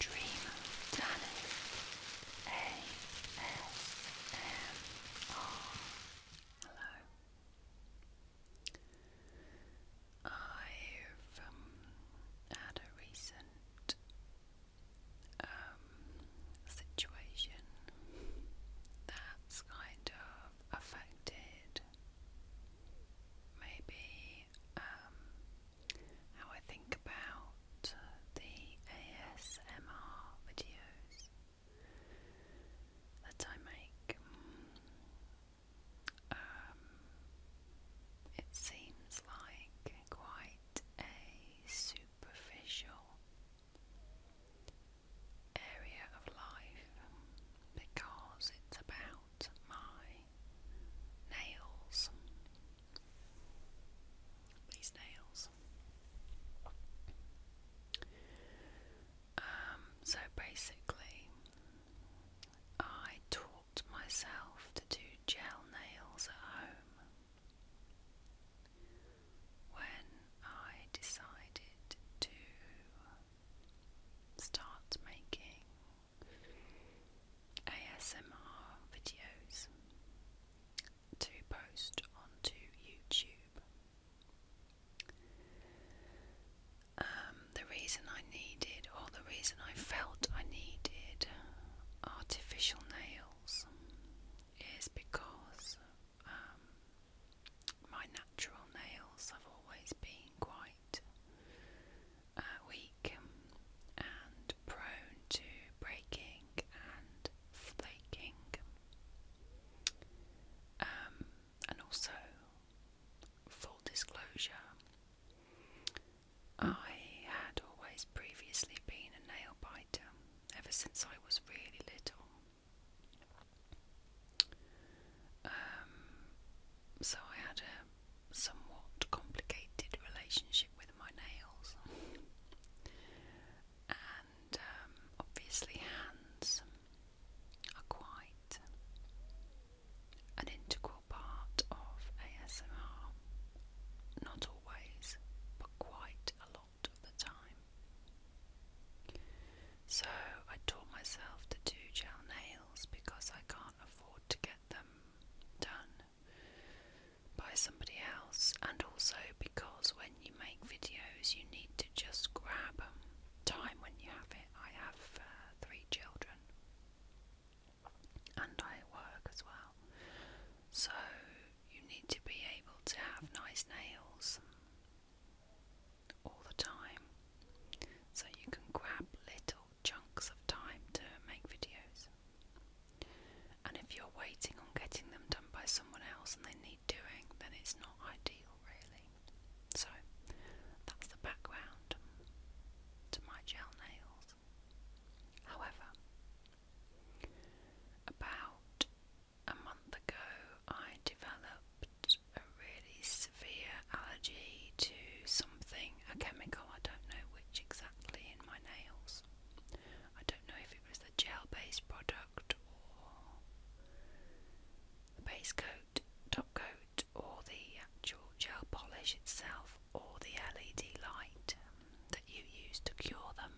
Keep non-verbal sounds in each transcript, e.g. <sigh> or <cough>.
Dream Tanner ASMR. Hello. Um, I've had uh, a recent situation that's kind of affected maybe um, how I think about uh, the ASMR videos that I make. Um, it seems like quite a superficial area of life because it's about my nails. These nails. Um, so basically, I taught myself to do gel nails at home when I decided to start making ASMR videos to post onto YouTube. Um, the reason I needed, or the reason I felt I needed, artificial nails is because um, my natural nails have always been quite weak and prone to breaking and flaking, um, and also full disclosure. I had always previously been a nail biter ever since I was really little. Um, so I had a somewhat complicated relationship with my nails. and um, obviously, hands are quite an integral part of ASMR. Not always, but quite a lot of the time. So I taught myself to do gel nails because I can't afford to get them done by somebody else, and also because when you make videos, you need to just grab time when you have it. I have uh, three children, and I work as well, so you need to be able to have nice nails all the time, so you can grab little chunks of time to make videos. And if you're waiting on getting them done by someone else and they need doing, then it's not ideal, really. So, that's the background to my gel nails. However, about a month ago, I developed a really severe allergy to something, a chemical, I don't know which exactly in my nails. I don't know if it was the gel based product or the base coat, top coat, or the actual gel polish itself, or the LED light um, that you use to cure them.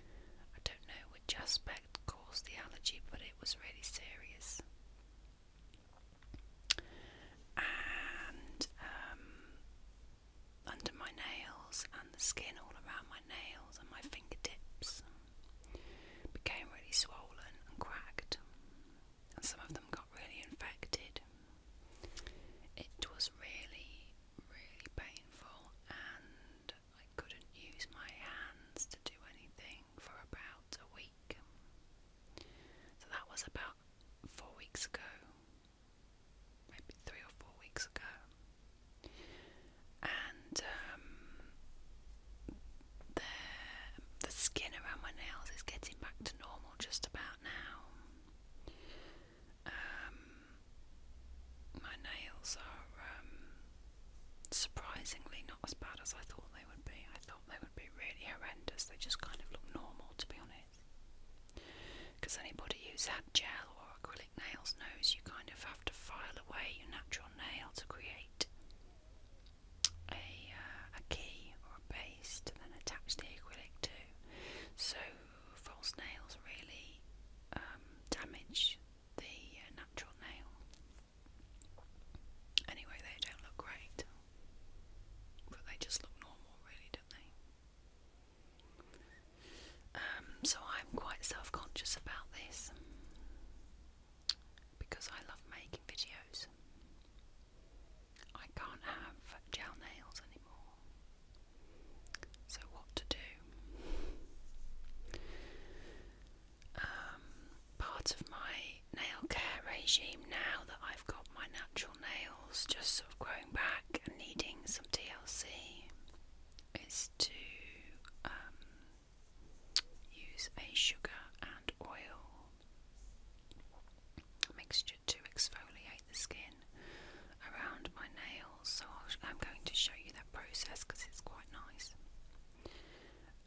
I don't know which aspect caused the allergy, but it was really serious. And um, under my nails and the skin all around my nails and my fingertips became really swollen and cracked, and some of them got really infected. It was really, really painful, and I couldn't use my hands to do anything for about a week. So that was about four weeks ago maybe three or four weeks ago, and um, the the skin around my nails is getting back to normal just about now. Um, my nails are um, surprisingly not as bad as I thought they would be. I thought they would be really horrendous. They just kind of look normal, to be honest. Because anybody who's had gel or acrylic nails knows you kind of have to file away your natural nail to create a, uh, a key or a base to then attach the acrylic to. So false nails really um, damage the uh, natural nail. Anyway, they don't look great, but they just look normal, really, don't they? Um, so I'm quite self conscious about this because I love making videos. I can't have gel nails anymore. So, what to do? Um, part of my nail care regime now that I've got my natural nails just sort of growing back and needing some TLC is to um, use a sugar and oil mixture to exfoliate the skin around my nails. So I'm going to show you that process because it's quite nice.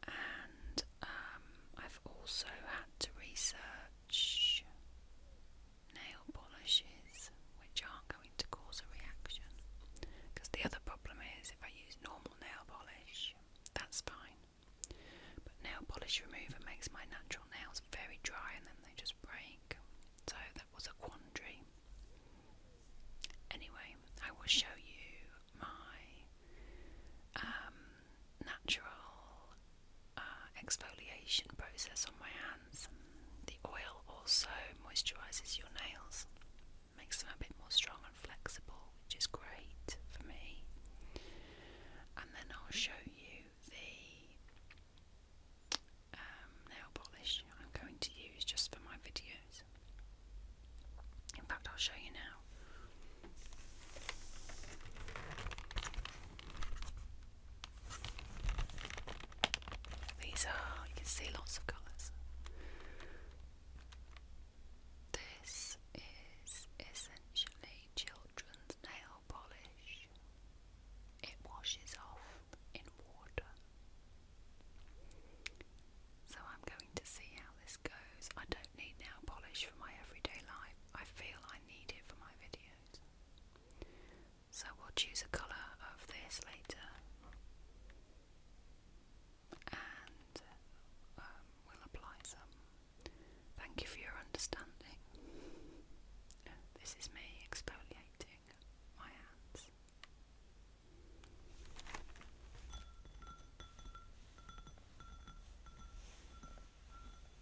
And um, I've also had to research which nail polishes which aren't going to cause a reaction. Because the other problem is if I use normal nail polish, that's fine. But nail polish remover makes my natural nails very dry and then they just break. So that was a quandary. Anyway, I will show you my um, natural uh, exfoliation process on my hands. The oil also moisturizes your nails, makes them a bit more strong and flexible, which is great for me. And then I'll show you the um, nail polish I'm going to use just for my videos. In fact, I'll show you now. These are, you can see lots of colours. This is essentially children's nail polish. It washes off in water. So I'm going to see how this goes. I don't need nail polish for my everyday life. I feel I need it for my videos. So we'll choose a colour of this later and um, we'll apply some. Thank you for your understanding. This is me exfoliating my hands.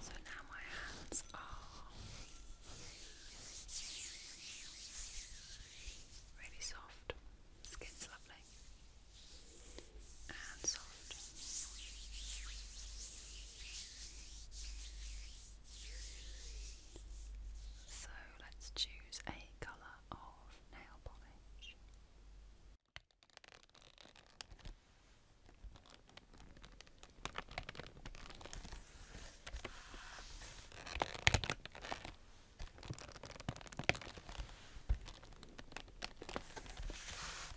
So now my hands are really soft, skin's lovely, and soft. So let's choose a colour of nail polish.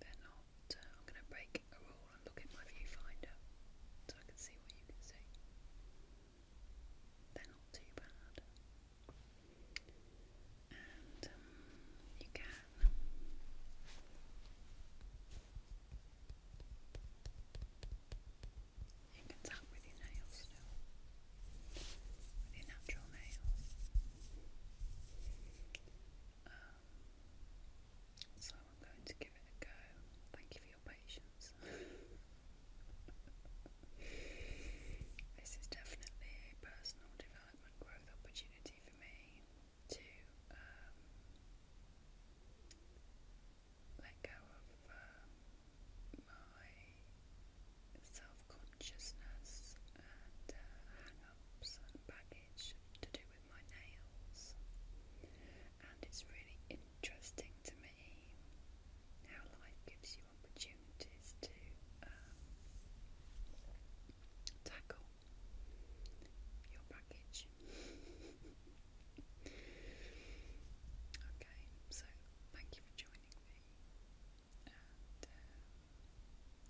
They're not. Uh, I'm going to break a rule and look at my viewfinder so I can see what you can see. They're not too bad. And um, you can you can tap with your nails still. With your natural nails. Um, so I'm going to give it a go. Thank you for your patience. <laughs> this is definitely a personal development growth opportunity for me to um, let go of uh, my self-consciousness and uh, and baggage to do with my nails and it's really interesting to me how life gives you opportunities to um, tackle your baggage. <laughs> okay, so thank you for joining me, and um,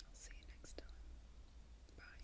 I'll see you next time. Bye.